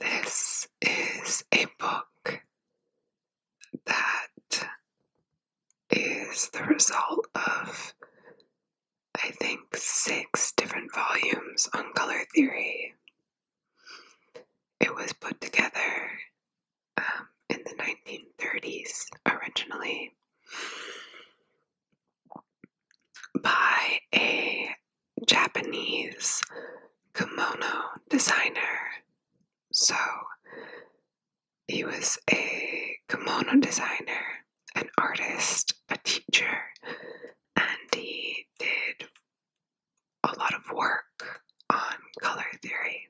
This is a book that is the result of, I think, six different volumes on color theory. It was put together um, in the 1930s originally by a Japanese kimono designer. So he was a kimono designer, an artist, a teacher, and he did a lot of work on color theory.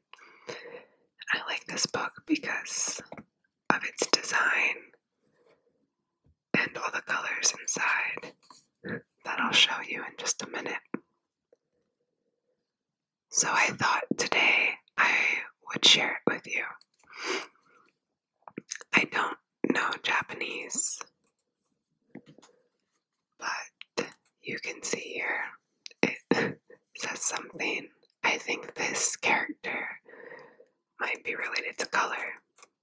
I like this book because of its design and all the colors inside that I'll show you in just a minute. So I thought today I would share it with you. I don't know Japanese, but you can see here it says something. I think this character might be related to color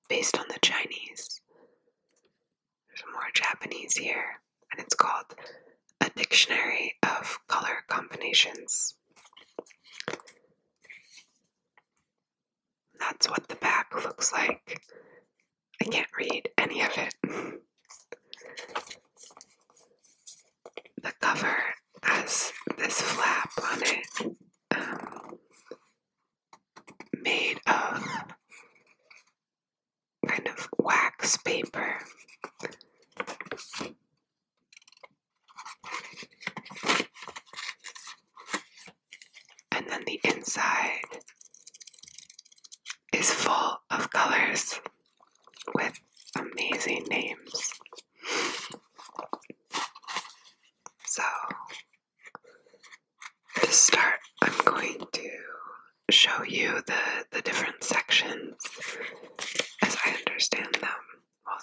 based on the Chinese. There's more Japanese here, and it's called A Dictionary of Color Combinations. That's what the back looks like. I can't read any of it. the cover has this flap on it. Um, made of kind of wax paper. And then the inside is full of colors with amazing names. So to start, I'm going to show you the, the different sections as I understand them. Well,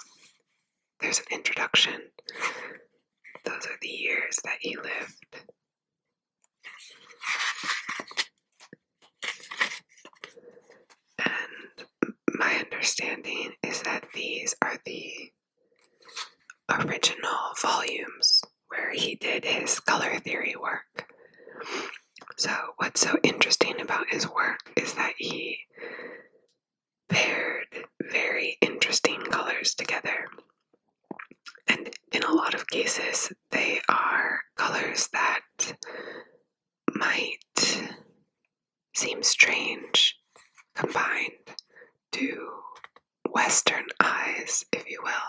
there's an introduction. Those are the years that he lived. And my understanding is that these are the original volumes where he did his color theory work. So, what's so interesting about his work is that he paired very interesting colors together. And in a lot of cases, they are colors that might seem strange combined to Western eyes, if you will.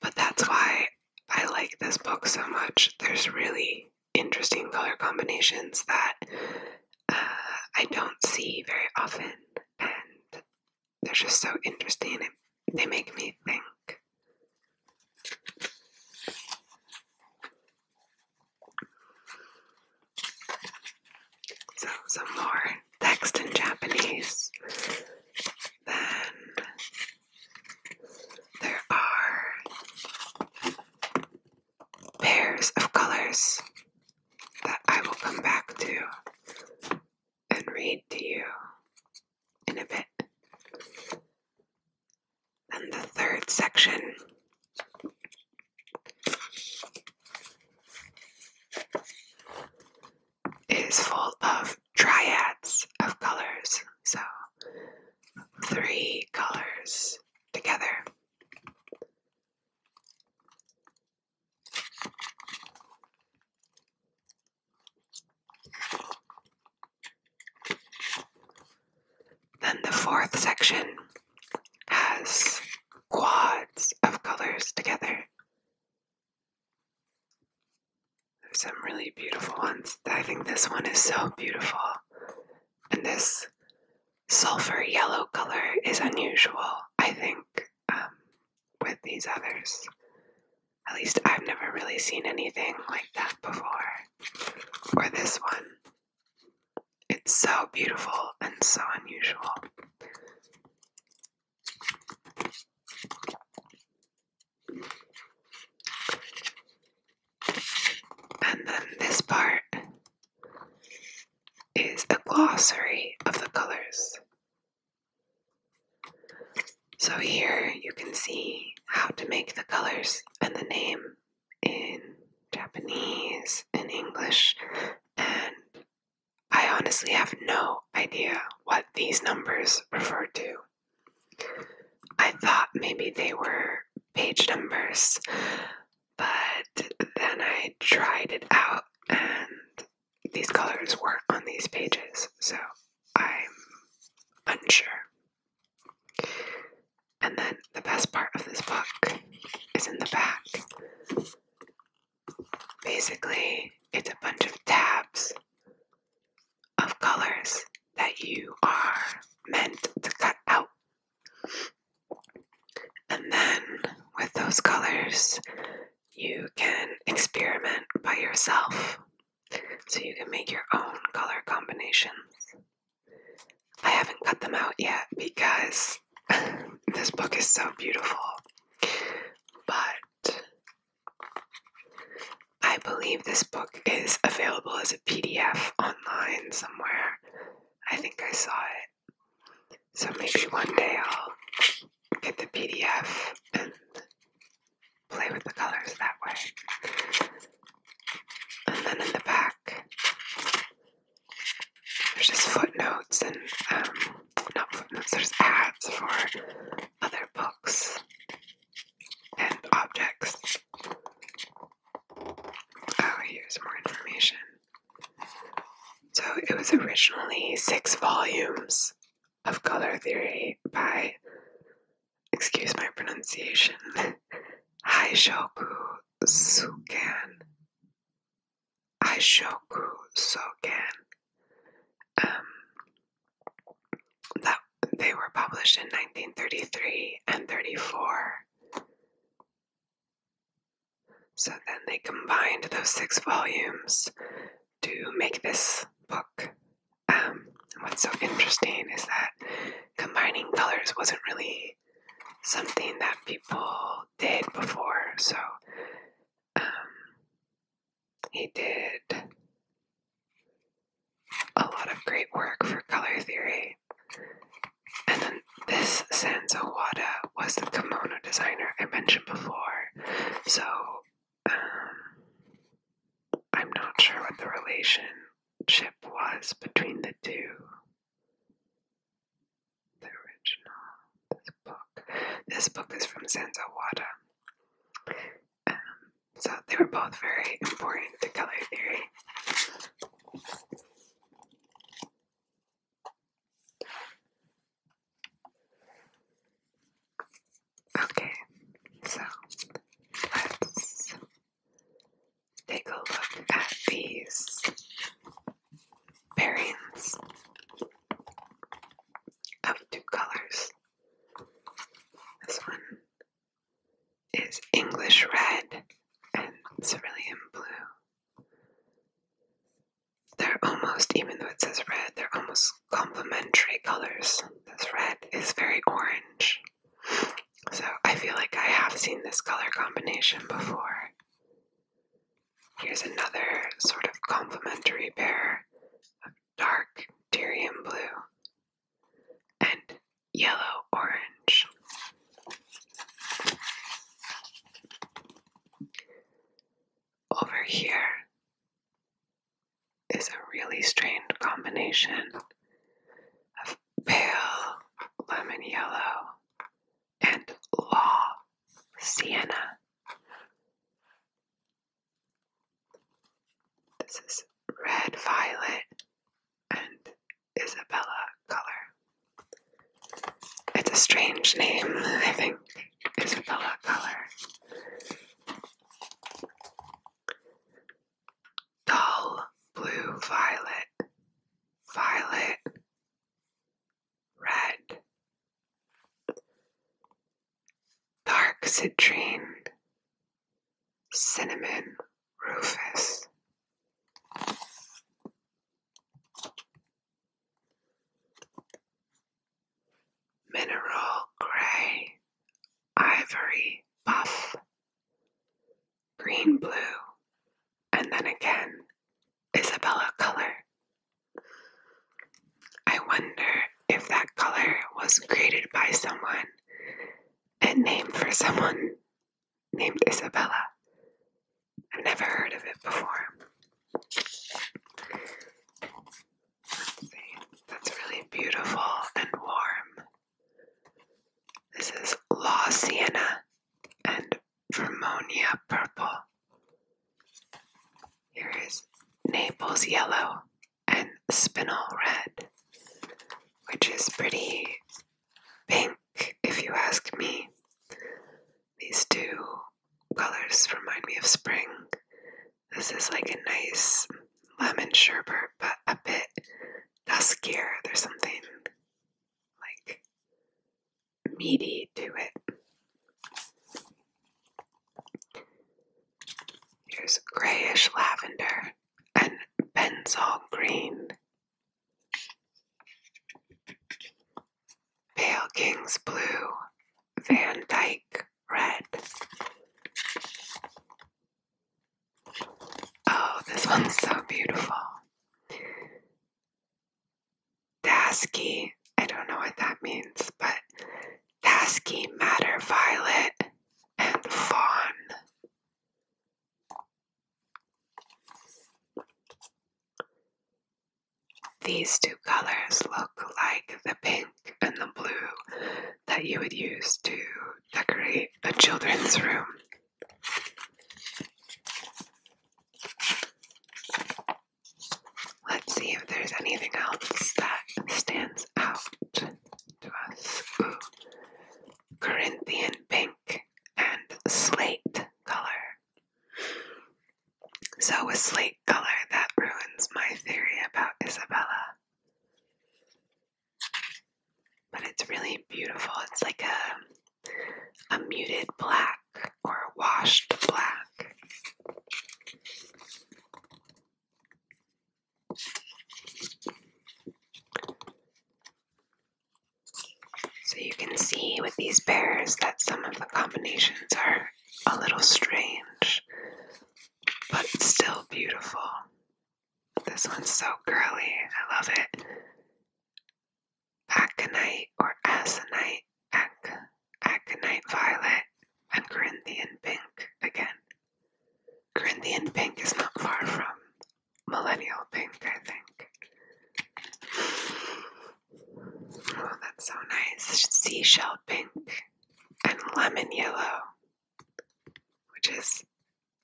But that's why I like this book so much. There's really interesting color combinations that uh, I don't see very often, and they're just so interesting. They make me think. So, some more text in Japanese. Then there are pairs of colors that I will come back to and read to you in a bit. And the third section is full of triads of colors, so three colors together. Then the fourth section has quads of colors together. There's some really beautiful ones. I think this one is so beautiful. And this sulfur yellow color is unusual, I think, um, with these others. At least I've never really seen anything like that before. Or this one. It's so beautiful and so unusual. And then this part is a glossary of the colors. So here you can see how to make the colors and the name in Japanese, and English, and I honestly have no idea what these numbers refer to. I thought maybe they were page numbers, but then I tried it out and these colors weren't on these pages, so I'm unsure. And then the best part of this book is in the back. Basically, it's a bunch of tabs of colors that you are meant to cut out. And then with those colors, you can experiment by yourself. So you can make your own color combinations. I haven't cut them out yet because this book is so beautiful, but I believe this book is available as a PDF online somewhere. I think I saw it. So maybe one day I'll get the PDF and play with the colors that way. And then in the back, there's just footnotes and, um, not footnotes, there's ads for other books and objects. Oh, here's more information. So it was originally six volumes of color theory by, excuse my pronunciation, Haishoku Sukan. Aishoku Soken. Um, that they were published in 1933 and 34. So then they combined those six volumes to make this book. Um, what's so interesting is that combining colors wasn't really something that people did before, so um, he did a lot of great work for color theory. And then this Sanso Wada was the kimono designer I mentioned before, so um, I'm not sure what the relationship was between the two. The original. This book. This book is from Sanzawada. Um, so they were both very important to color theory. Okay, so let's take a look at these pairings of two colors. This one is English red and cerulean blue. They're almost, even though it says red, they're almost complementary colors. This red is very orange. So I feel like I have seen this color combination before. Here's another sort of complementary pair of dark Tyrian blue and yellow orange. Over here is a really strange combination of pale lemon yellow and Law Sienna. This is red violet and Isabella color. It's a strange name, I think. Isabella color. Dull blue violet, violet, red, dark citrine, cinnamon rufus. Mineral gray, ivory buff, green blue, and then again Isabella color. I wonder if that color was created by someone and named for someone named Isabella. I've never heard of it before. That's really beautiful and warm. This is La Sienna and Vermonia purple. Here is Naples yellow and spinel red, which is pretty pink if you ask me. These two colors remind me of spring. This is like a nice lemon sherbet, but a bit duskier. There's something like meaty to it. Here's grayish lavender and benzol green. Pale King's Blue, Van Dyke Red. Oh, this one's so beautiful. Dasky, I don't know what that means, but Dasky, Matter Violet, and Fawn. These two colors look like the pink and the blue that you would use to decorate a children's room. Let's see if there's anything else that stands out to us. Corinthian pink and slate color. So, with slate color, that ruins my theory about Isabella. But it's really beautiful. It's like a, a muted black or washed black. So you can see with these bears that some of the combinations are a little strange, but still beautiful. This one's so curly, I love it aconite or asinite, ac, aconite violet, and Corinthian pink again. Corinthian pink is not far from millennial pink, I think. Oh, that's so nice. Seashell pink and lemon yellow, which is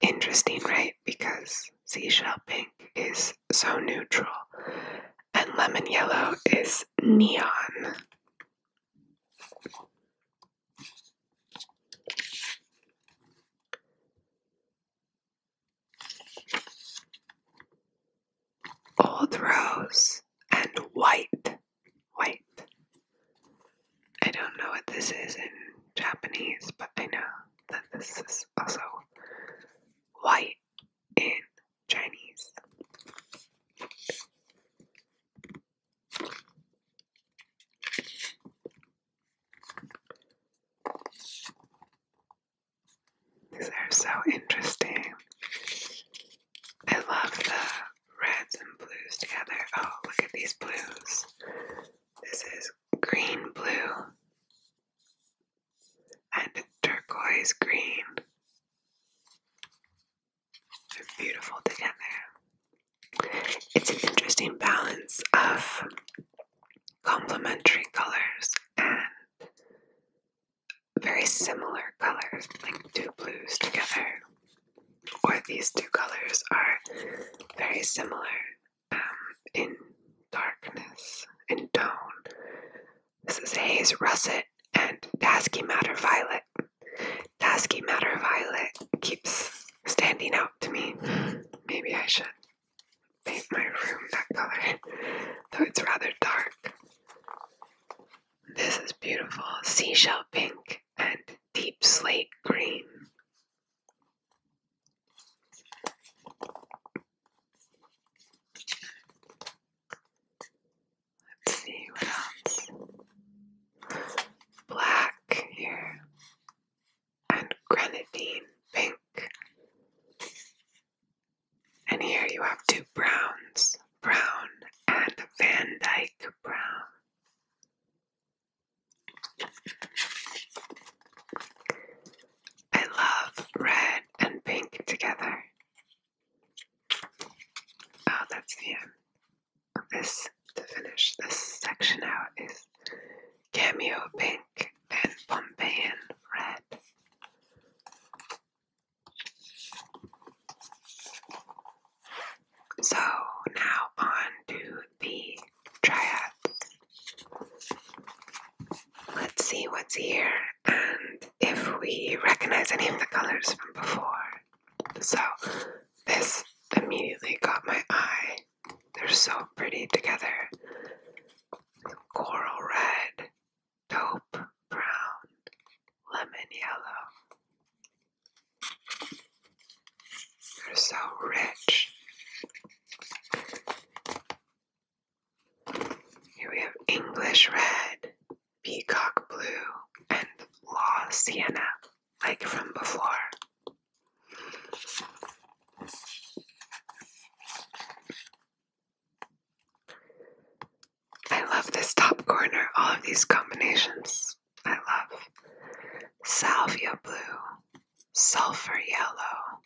interesting, right? Because seashell pink is so neutral and lemon yellow is neon. Old rose and white. White. I don't know what this is in Japanese, but I know that this is also white in Chinese. These are so interesting. I love the reds and blues together. Oh, look at these blues. This is green blue, and turquoise green. They're beautiful together. It's an interesting balance of complementary colors and very similar colors, like two blues together. Or these two colors are very similar um, in darkness, in tone, this is Haze Russet and Dasky Matter Violet. Dasky Matter Violet keeps standing out to me. Maybe I should paint my room that color, though it's rather dark. This is beautiful seashell pink and deep slate green. Let's see what else. Black here and grenadine pink. And here you have two browns, brown and Van Dyke brown. I love red and pink together. Oh, that's the end this. To finish this section out is Cameo Pink and Pompeian Red. So now on to the triads. Let's see what's here and if we recognize any of the colors from before. So this immediately caught my eye. They're so pretty together. Coral red, taupe brown, lemon yellow. They're so rich. Here we have English Red, Peacock Blue, and Law Sienna, like from before. I love this top corner, all of these combinations. I love salvia blue, sulfur yellow,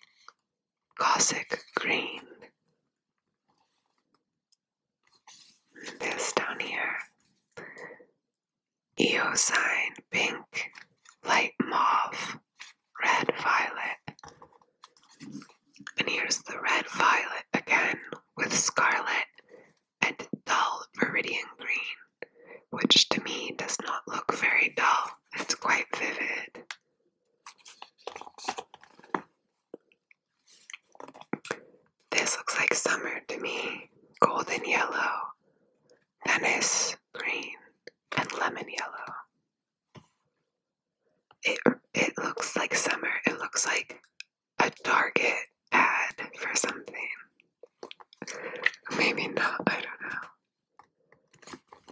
Cossack green, this down here. Eosine pink, light mauve, red violet. And here's the red violet again with scarlet and dull viridian green, which to me does not look very dull. It's quite vivid. This looks like summer to me. Golden yellow, Venice green, and lemon yellow. It it looks like summer. It looks like a Target ad for something. Maybe not, I don't know.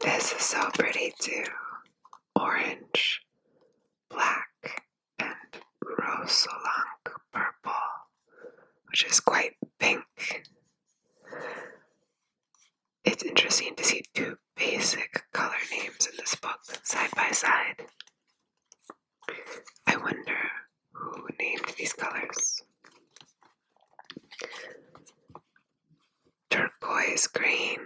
This is so pretty too orange, black, and rosolank purple, which is quite pink. It's interesting to see two basic color names in this book side by side. I wonder who named these colors. Turquoise green,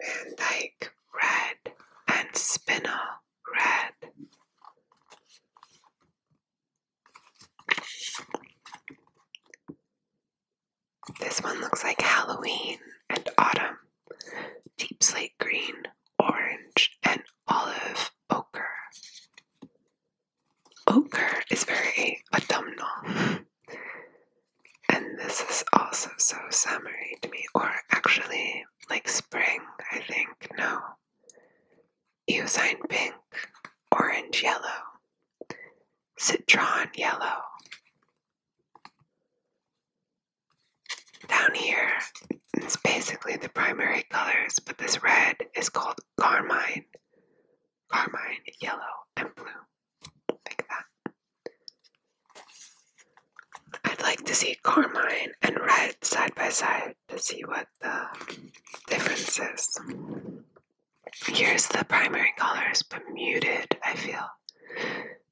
Van Dyke Red and Spinner Red. This one looks like Halloween and autumn. Deep slate green, orange, and olive ochre. Ochre is very autumnal. And this is also so summery to me, or actually like spring, I think. No. Eosine pink, orange yellow, citron yellow. Down here, it's basically the primary colors, but this red is called carmine. Carmine, yellow, and blue. Like that. I'd like to see carmine and red side by side to see what the difference is. Here's the primary colors, but muted, I feel.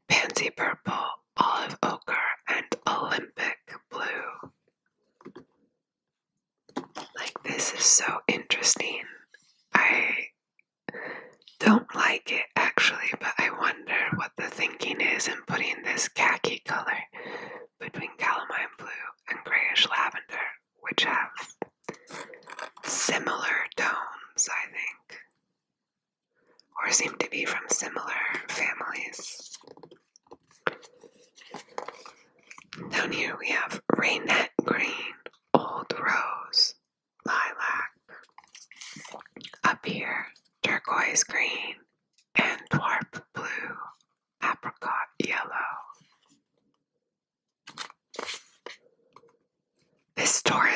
Pansy purple, olive ochre, and Olympic blue. Like, this is so interesting. I don't like it actually, but I wonder what the thinking is in putting this khaki color between calamine blue and grayish lavender, which have similar tones, I think, or seem to be from similar families. Down here we have Rainette Green, Old Rose, lilac. Up here, turquoise green and dwarf blue, apricot yellow.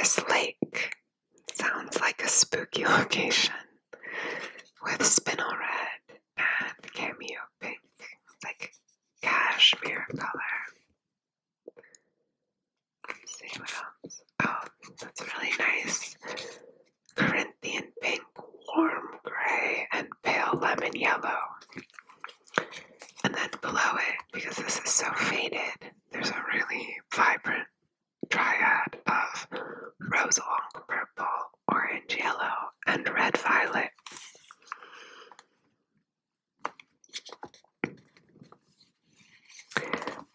This lake sounds like a spooky location with spinel red and cameo pink, like cashmere color. Let's see what else. Oh, that's really nice. Corinthian pink, warm gray, and pale lemon yellow. And then below it, because this is so faded, there's a really vibrant triad of rose long purple, orange, yellow, and red violet.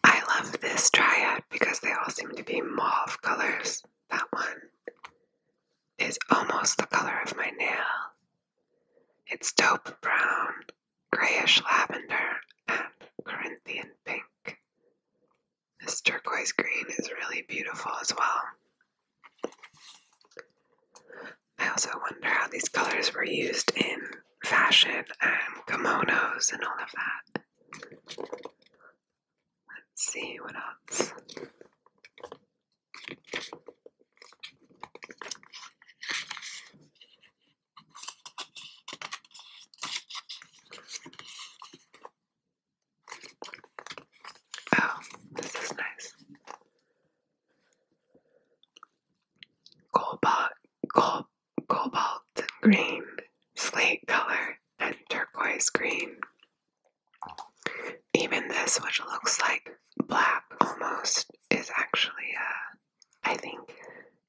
I love this triad because they all seem to be mauve colors. That one is almost the color of my nail. It's dope brown, grayish lavender, and Corinthian pink. This turquoise green is really beautiful as well. I also wonder how these colors were used in fashion and kimonos and all of that. Let's see what else. Oh, this is nice. Golbot, Golbot cobalt green, slate color, and turquoise green. Even this, which looks like black almost, is actually a. Uh, I think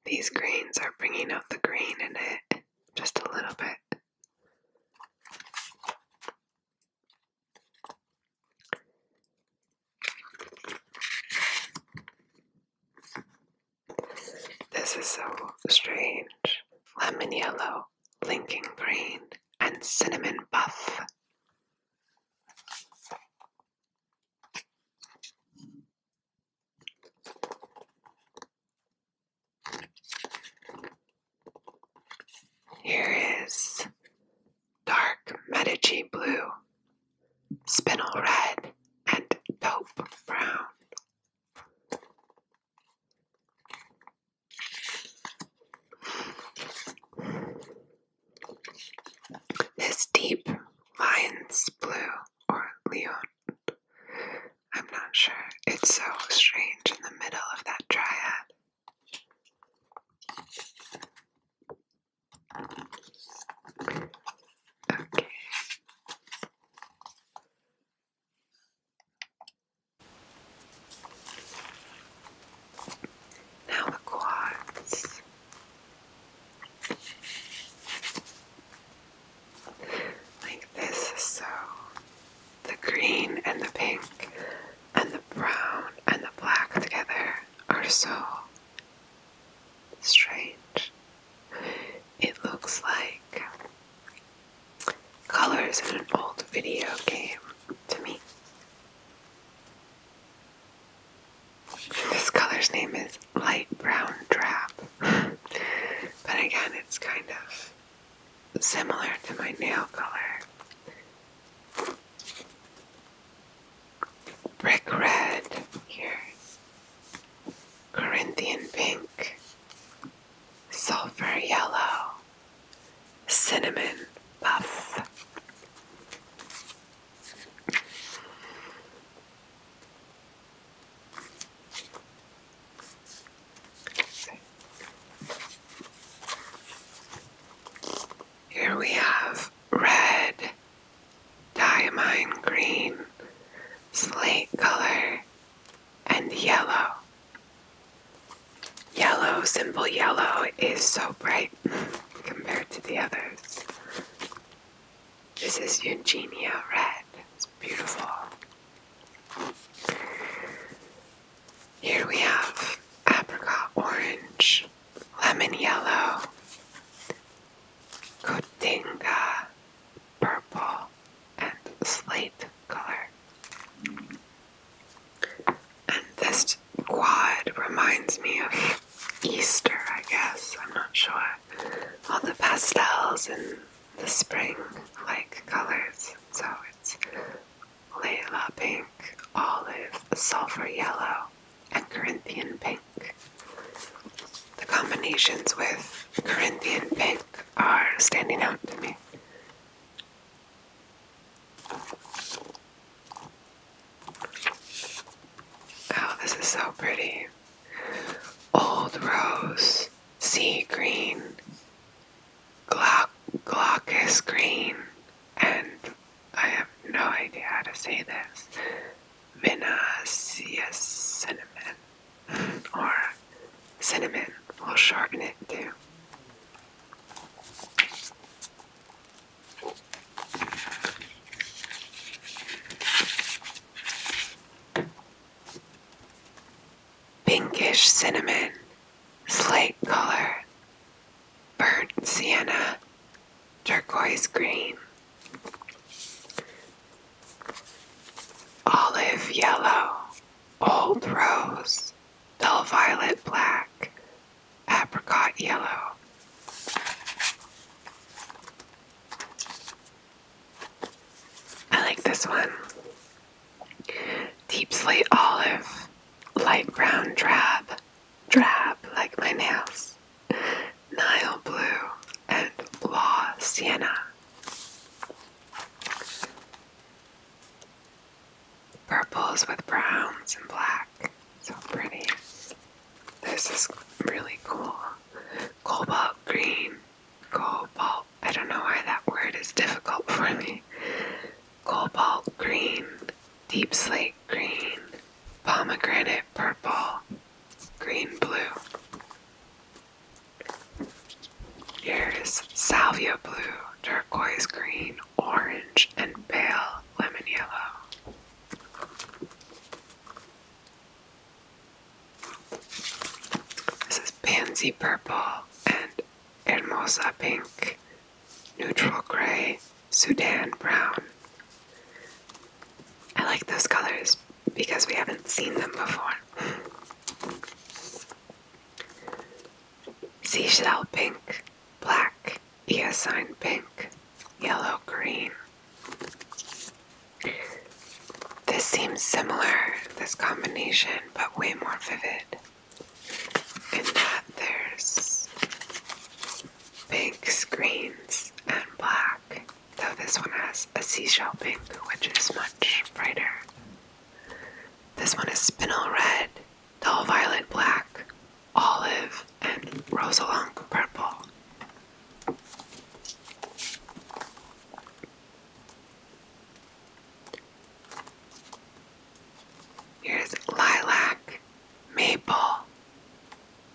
these greens are bringing out the green in it just a little bit. This is so strange. Lemon yellow, linking green, and cinnamon buff. Here is dark Medici blue spinel red, and taupe brown. This deep lion's blue or leon, I'm not sure. It's so strange in the middle of that triad. Okay. Now the quartz. Like this, so the green and the pink and the brown and the black together are so strange. It looks like colors in an old video game to me. This color's name is Light Brown Drab, but again, it's kind of similar to my nail color. Brick Red here Corinthian pink, sulfur yellow, cinnamon buff. Here we have red diamine green, slate color, and yellow. Yellow, simple yellow, is so bright compared to the others. This is Eugenia Red. It's beautiful. Here we have apricot orange, lemon yellow, cotinga, purple and slate color. And this quad reminds me of Easter, I guess. I'm not sure. All the pastels and the spring like colors. So it's Layla pink, olive, sulfur yellow, and Corinthian pink. The combinations with Corinthian pink are standing out to me. Oh, this is so pretty. Old rose, sea green, glauc green, and I have no idea how to say this. Vinacea cinnamon or cinnamon will sharpen it too. Pinkish cinnamon, slate color, burnt sienna, turquoise green olive yellow, old rose, dull violet black, apricot yellow. I like this one. Deep slate olive, light brown drab, drab like my nails, Nile blue, and law sienna. Purples with browns and black. So pretty. This is really cool. Cobalt green. Cobalt. I don't know why that word is difficult for me. Cobalt green. Deep slate green. Pomegranate purple. Green blue. Here's salvia blue, turquoise green, orange, and pale lemon yellow. This is pansy purple and hermosa pink, neutral gray, Sudan brown. I like those colors because we haven't seen them before. Seashell pink, black, eosine pink, yellow green. This seems similar, this combination, but way more vivid. In that there's pink screens and black though this one has a seashell pink, which is much brighter. This one is spinel red, dull violet black, olive, and rosalunk purple. Here's lilac, maple,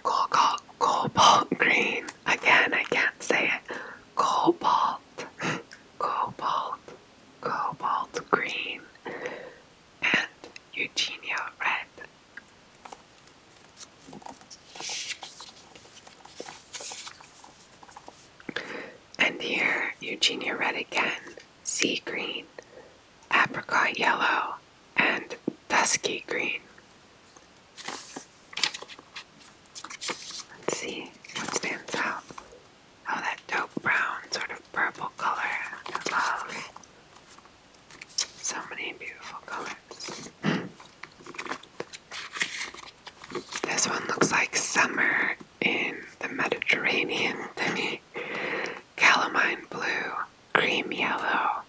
cobalt green. Again, I can't say it cobalt, cobalt, cobalt green, and Eugenia red. And here, Eugenia red again, sea green, apricot yellow, and dusky green. Let's see what stands out. Oh, that dope brown, sort of purple color. I love so many beautiful colors. this one looks like summer in the Mediterranean to me. Calamine blue, cream yellow,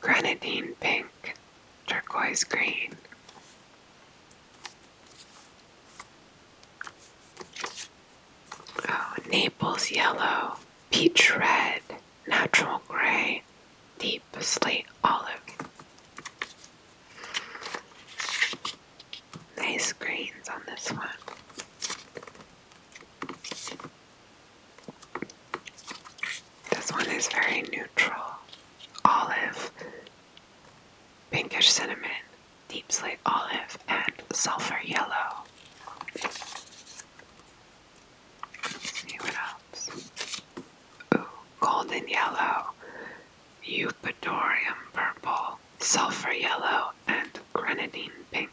grenadine pink, turquoise green, Oh, Naples yellow, peach red, natural gray, deep slate olive. Nice greens on this one. This one is very neutral olive, pinkish cinnamon, deep slate olive, and sulfur yellow. what else. Ooh, golden yellow, eupatorium purple, sulfur yellow, and grenadine pink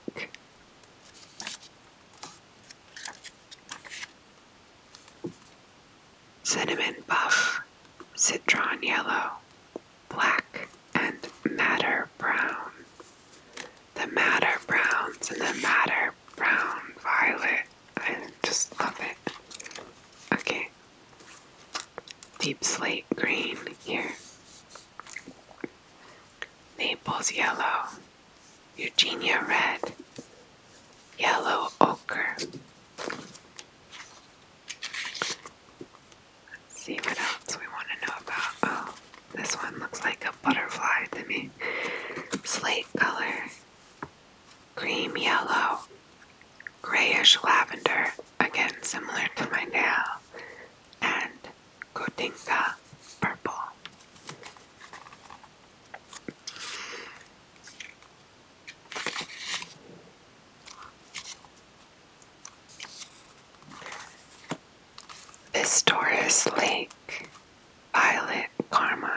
cinnamon buff, citron yellow, black, and madder brown. The madder browns and the madder brown violet. I just love it. Okay. Deep slate green here. Naples yellow, Eugenia red, yellow ochre. Let's see what else we want to know about. Oh, this one looks like a butterfly to me. Slate color, cream yellow, grayish lavender, again similar to my nail, and Gotinka purple. This Taurus Lake, Violet, Carmine,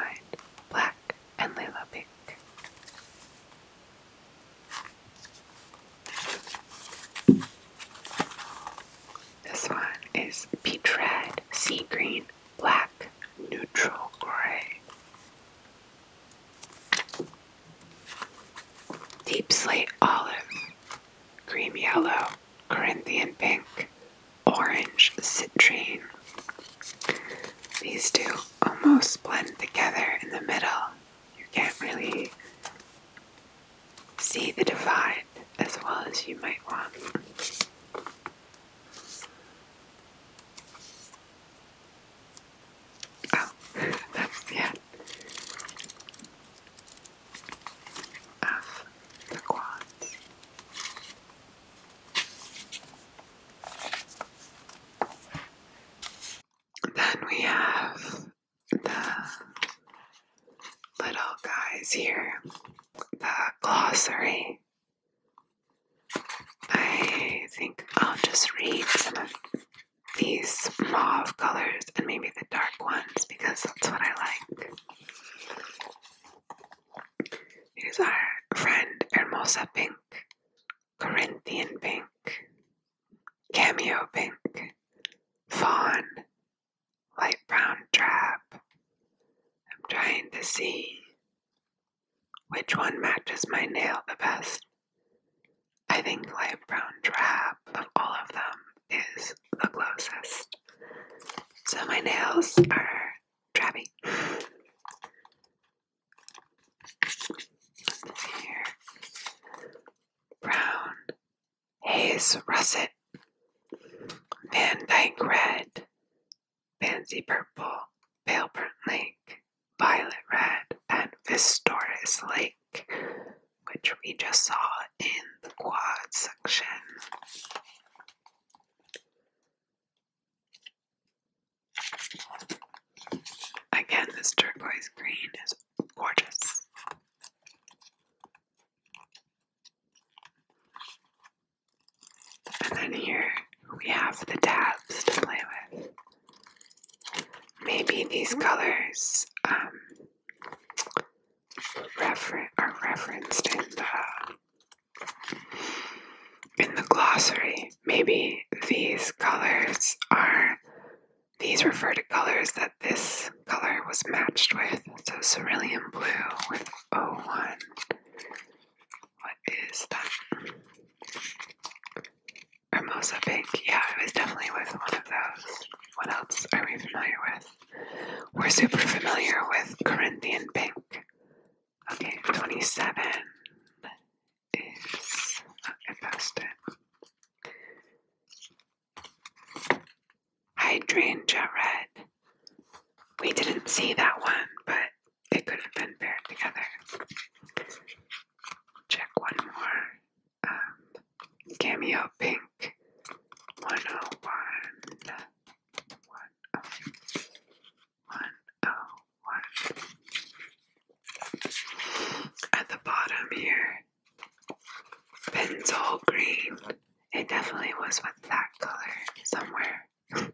Black, and Lila Pink. This one is peach red, sea green, black, neutral gray. Deep slate olive, cream yellow, Corinthian pink, orange citrine. These two almost blend together in the middle. You can't really see the divide as well as you might want. Oh, that's the end the quads. Then we have the little guys here, the glossary I think I'll just read some of these mauve colors and maybe the dark ones because that's what I like. Here's our friend Hermosa Pink, Corinthian Pink, Cameo Pink, Fawn, Light Brown Trap. I'm trying to see which one matches my nail the best? I think light brown drab of all of them is the closest. So my nails are drabby. This Brown. Haze russet. Van Dyke red pansy purple, pale burnt lake, violet red, and Vistoris lake, which we just saw in the quad section. Again, this turquoise green is gorgeous. And then here we have the tabs to play with. Maybe these colors um, refer are referenced in the in the glossary. Maybe these colors are these refer to colors that this color was matched with. So cerulean blue with O1. What is that? Hermosa Pink. Yeah, I was definitely with one of those. What else are we familiar with? We're super familiar with Corinthian Pink. Okay, 27 is. I passed it. Hydrangea Red. We didn't see that one, but they could have been paired together. Check one more. Um, cameo pink 101. 101. 101. At the bottom here, pencil green. It definitely was with that color somewhere. I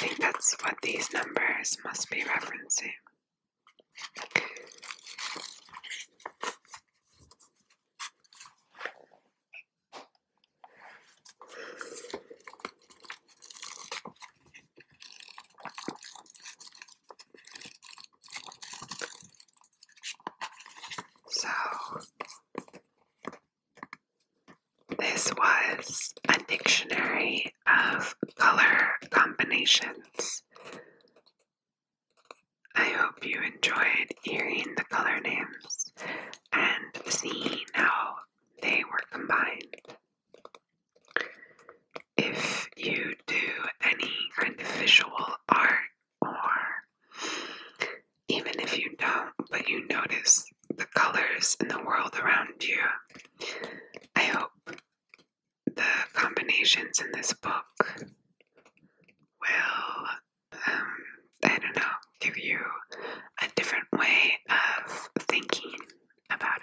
think that's what these numbers must be referencing. So this was a dictionary of color combinations. I hope you enjoyed hearing the color names and seeing how they were combined. If you do any kind of visual art, or even if you don't, but you notice the colors in the world around you, I hope the combinations in this book will, um, I don't know, give you a different way of thinking about it.